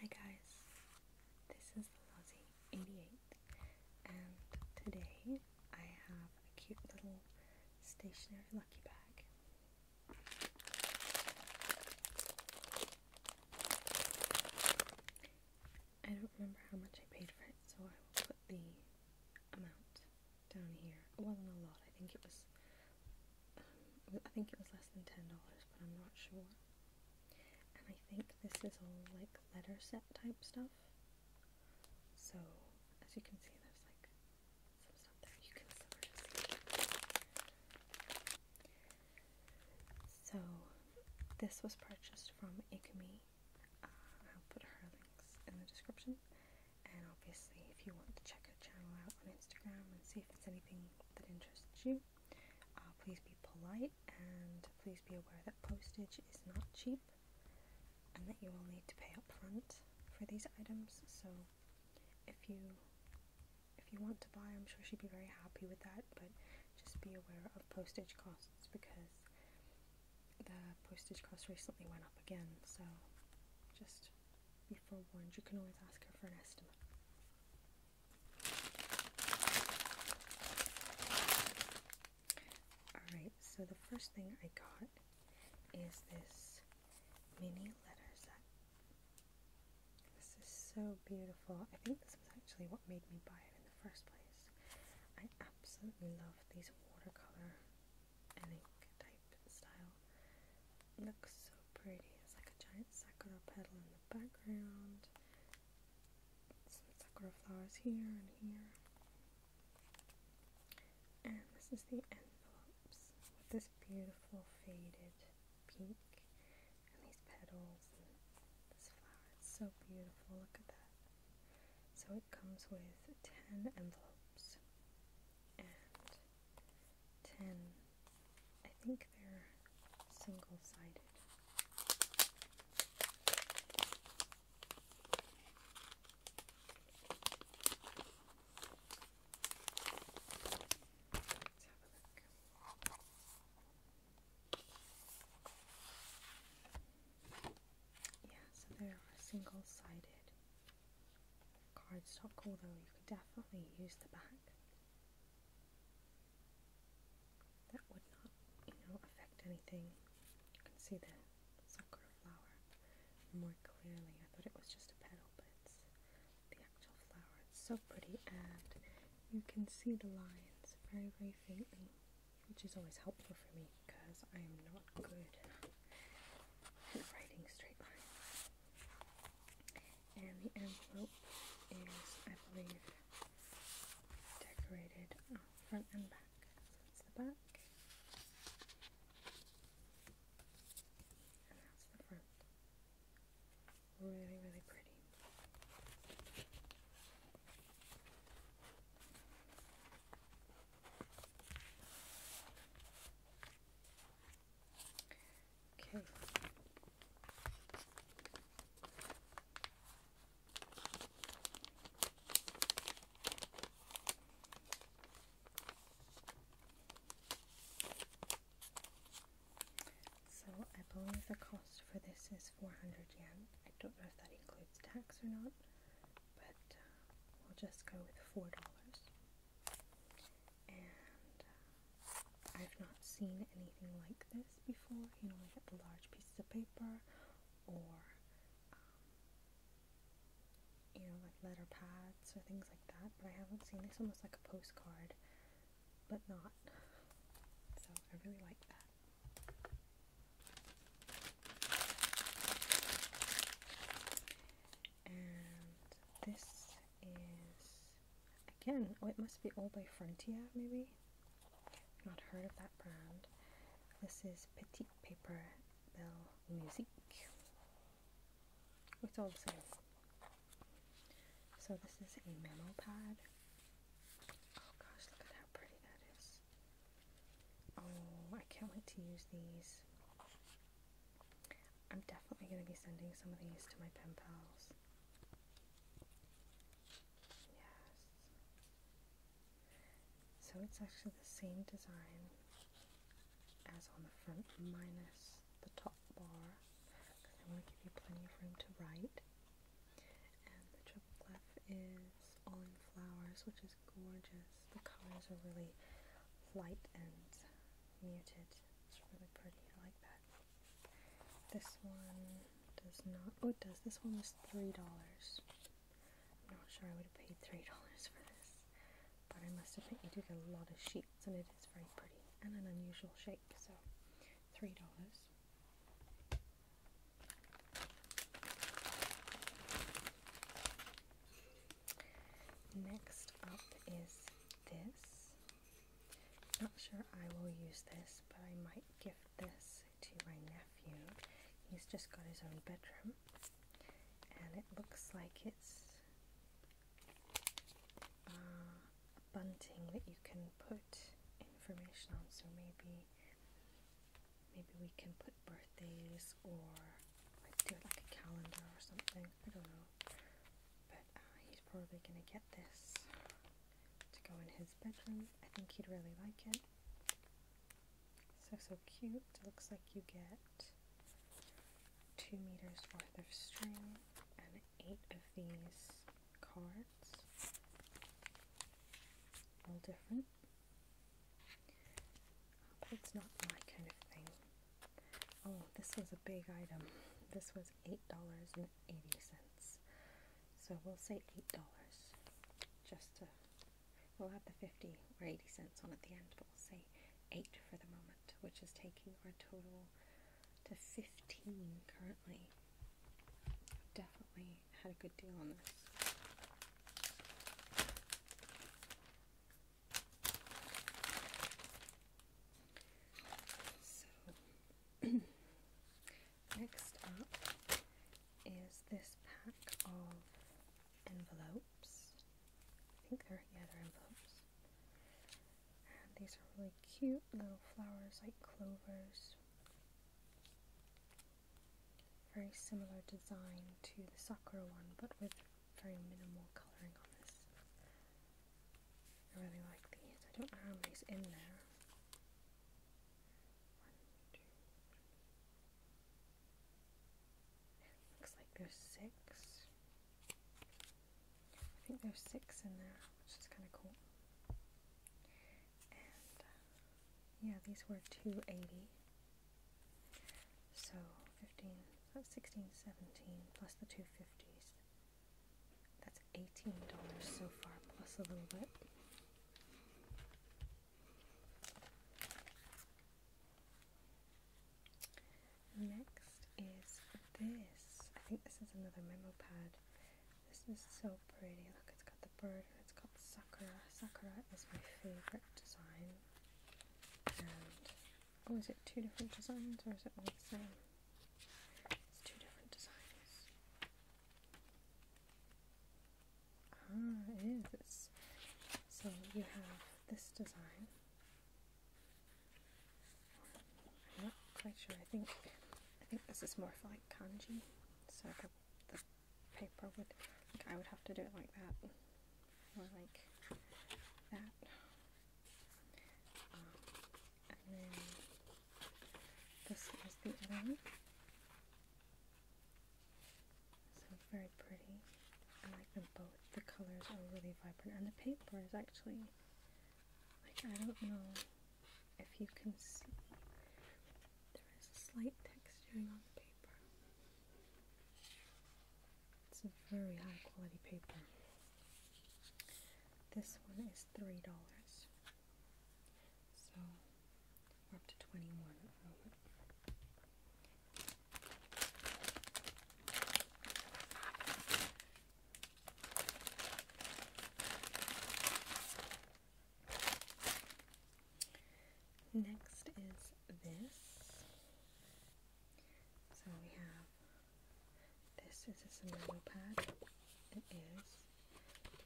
Hi guys, this is Lozzie88 and today I have a cute little stationary lucky bag. I don't remember how much I paid for it so I will put the amount down here. It wasn't a lot. I think it was. Um, I think it was less than ten dollars, but I'm not sure. And I think this is all like letter set type stuff. So as you can see, there's like some stuff there you can sort of So this was purchased from Ikumi. Uh, I'll put her links in the description. And obviously, if you want to check her channel out on Instagram and see if it's anything that interests you, uh, please be polite and please be aware that postage is not cheap and that you will need to pay up front for these items. So, if you if you want to buy, I'm sure she'd be very happy with that, but just be aware of postage costs because the postage costs recently went up again, so just 1st forewarned, you can always ask her for an estimate. Alright, so the first thing I got is this mini letter set. This is so beautiful. I think this was actually what made me buy it in the first place. I absolutely love these watercolor an type style. looks so pretty. It's like a giant sakura petal in the background. Some sakura flowers here and here. And this is the envelopes with this beautiful faded pink and these petals and this flower. It's so beautiful. Look at that. So it comes with 10 envelopes and 10. I think they're single sided. Yeah, so they are single sided cardstock, although you could definitely use the back. That would not, you know, affect anything. You can see the sakura flower more clearly. I thought it was just a petal, but it's the actual flower. It's so pretty, and you can see the lines very, very faintly, which is always helpful for me because I am not good at writing straight lines. And the envelope is, I believe, decorated uh, front and back. that's the back. And that's the front. Really, really pretty. So I believe the cost for this is 400 yen. I don't know if that includes tax or not, but uh, we'll just go with four dollars. And uh, I've not seen anything like this before, you know, like the large pieces of paper or um, you know, like letter pads or things like that, but I haven't seen this almost like a postcard, but not. So I really like that. And this is again, oh, it must be all by Frontier, maybe. I've not heard of that brand. This is Petit Paper Belle Musique. It's all the same. So this is a memo pad. Oh gosh, look at how pretty that is. Oh, I can't wait to use these. I'm definitely going to be sending some of these to my pen pals. Yes. So it's actually the same design as on the front, minus the top bar, because I want to give you plenty of room to write. And the triple clef is all in flowers, which is gorgeous. The colors are really light and muted. It's really pretty. I like that. This one does not. Oh, it does. This one was $3. I'm not sure I would have paid $3 for this. But I must admit, you do get a lot of sheets, and it is very pretty and an unusual shape. So, $3. Next up is this. Not sure I will use this, but I might gift this to my nephew. He's just got his own bedroom, and it looks like it's uh, a bunting that you can put information on. So maybe Maybe we can put birthdays or like do like a calendar or something. I don't know. But uh, he's probably gonna get this to go in his bedroom. I think he'd really like it. So so cute. It looks like you get two meters worth of string and eight of these cards. All different. But it's not my kind of thing. Oh, this was a big item. This was $8.80. So we'll say $8 just to. We'll add the 50 or 80 cents on at the end, but we'll say 8 for the moment, which is taking our total to 15 currently. Definitely had a good deal on this. So next up is this pack of envelopes. I think they're yeah envelopes. these are really cute little flowers like clovers. Very similar design to the Sakura one, but with very minimal colouring on this. I really like these. I don't know how many's in there. Looks like there's six. I think there's six in there, which is kind of cool yeah, these were 280. So 15, that's 16, 17 plus the 250s. That's $18 so far plus a little bit. Next is this. I think this is another memo pad. This is so pretty. Look, it's got the bird and it's called Sakura. Sakura is my favorite design. oh, is it two different designs or is it one the same? It's two different designs. Ah, it is. so you have this design. I'm not quite sure. I think I think this is more for like kanji. So the, paper would, like I would have to do it like that, or like that, um, and then this is the other one, so very pretty, I like them both, the colors are really vibrant, and the paper is actually, like I don't know if you can see, there is a slight texturing on the paper. It's a very high quality paper. This one is $3. So we're up to 21 Next is this. So we have this is a Samaro pad. It is.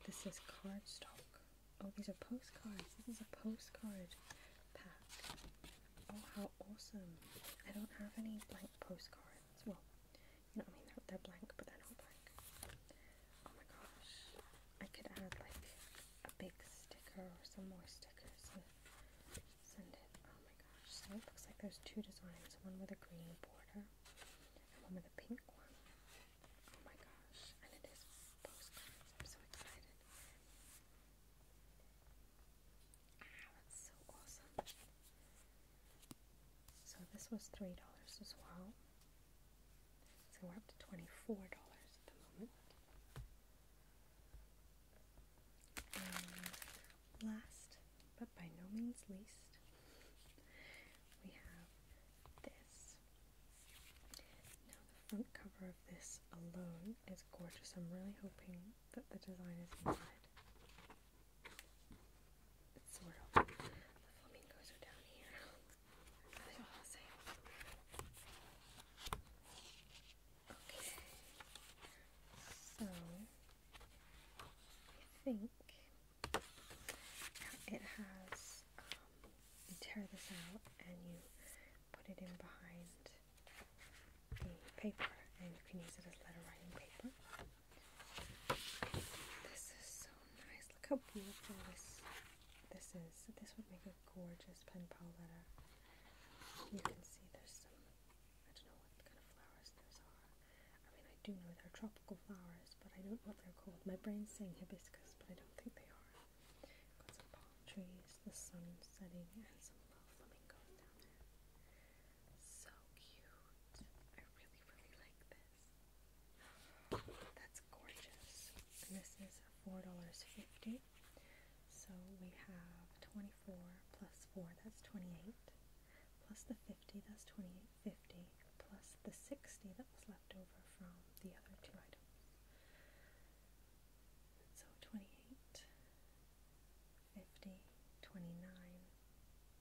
This is cardstock. Oh, these are postcards. This is a postcard pack. Oh, how awesome. I don't have any blank postcards. Well, you know what I mean? They're, blank, but they're not blank. Oh my gosh. I could add like a big sticker or some more stickers and send it. Oh my gosh. So it looks like there's two designs. One with a green border and one with a pink one. Oh my gosh. And it is postcards. I'm so excited. Ah, that's so awesome. So this was $3 as well. So we're up to $24 at the moment. last, but by no means least, we have this. Now the front cover of this alone is gorgeous. I'm really hoping that the design is inside. So, I think it has. Um, you tear this out and you put it in behind the paper, and you can use it as letter writing paper. This is so nice. Look how beautiful this this is. This would make a gorgeous pen pal letter. You can see there's some I don't know what kind of flowers those are. I mean I do know they're tropical flowers, but I don't know what they're called. My brain's saying hibiscus, but I don't think they are. Got some palm trees, the sun setting, and some love flamingos down there. So cute. I really, really like this. That's gorgeous. And this is $4.50. So we have 24 plus 4, that's 28. Plus the 50, that's 28.50. Plus the 60 that was left over from the other two items. So 28, 50, 29,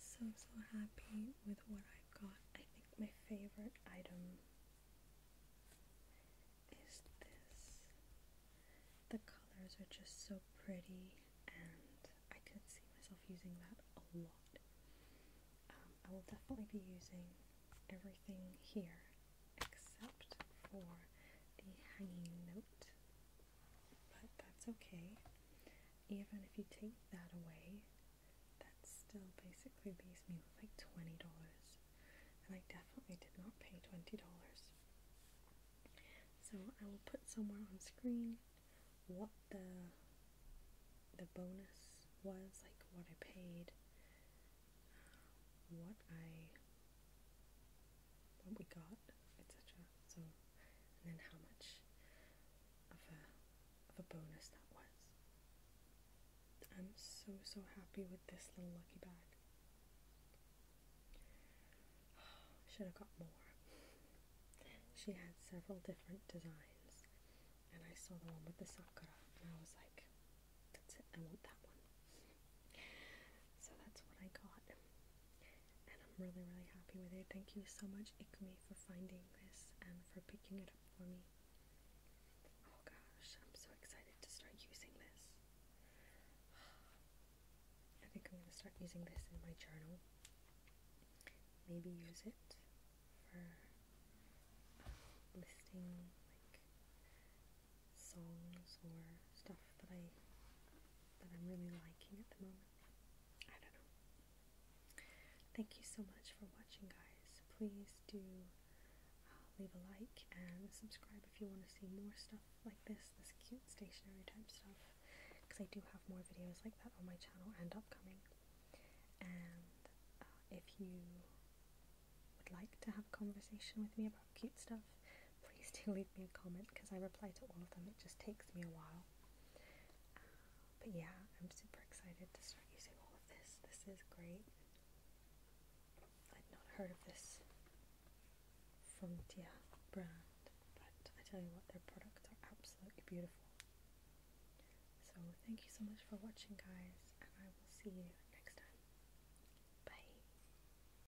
So, so happy with what I have got. I think my favorite item is this. The colors are just so pretty, and I could see myself using that a lot. Um, I will definitely be using everything here except for the hanging note but that's okay. Even if you take that away, that still basically leaves me with like $20. And I definitely did not pay $20. So I will put somewhere on screen what the the bonus was, like what I paid, uh, what I what we got, etc. So, and then how much of a of a bonus that was. I'm so so happy with this little lucky bag. Should have got more. She had several different designs, and I saw the one with the sakura, and I was like, "That's it, I want that one." So that's what I got and I'm really, really happy with it. Thank you so much, Ikumi, for finding this and for picking it up for me. Oh gosh, I'm so excited to start using this. I think I'm going to start using this in my journal. Maybe use it for um, listing like songs or stuff that I that I'm really liking at the moment. I don't know. Thank you so much for watching, guys. Please do uh, leave a like and subscribe if you want to see more stuff like this, this cute stationery type stuff, because I do have more videos like that on my channel and coming. And uh, if you would like to have a conversation with me about cute stuff, please do leave me a comment because I reply to all of them. It just takes me a while. Uh, but yeah, I'm super excited to start using all of this. This is great. I'd not heard of this Frontier brand, but I tell you what, their products are absolutely beautiful. So thank you so much for watching, guys, and I will see you next time. Bye.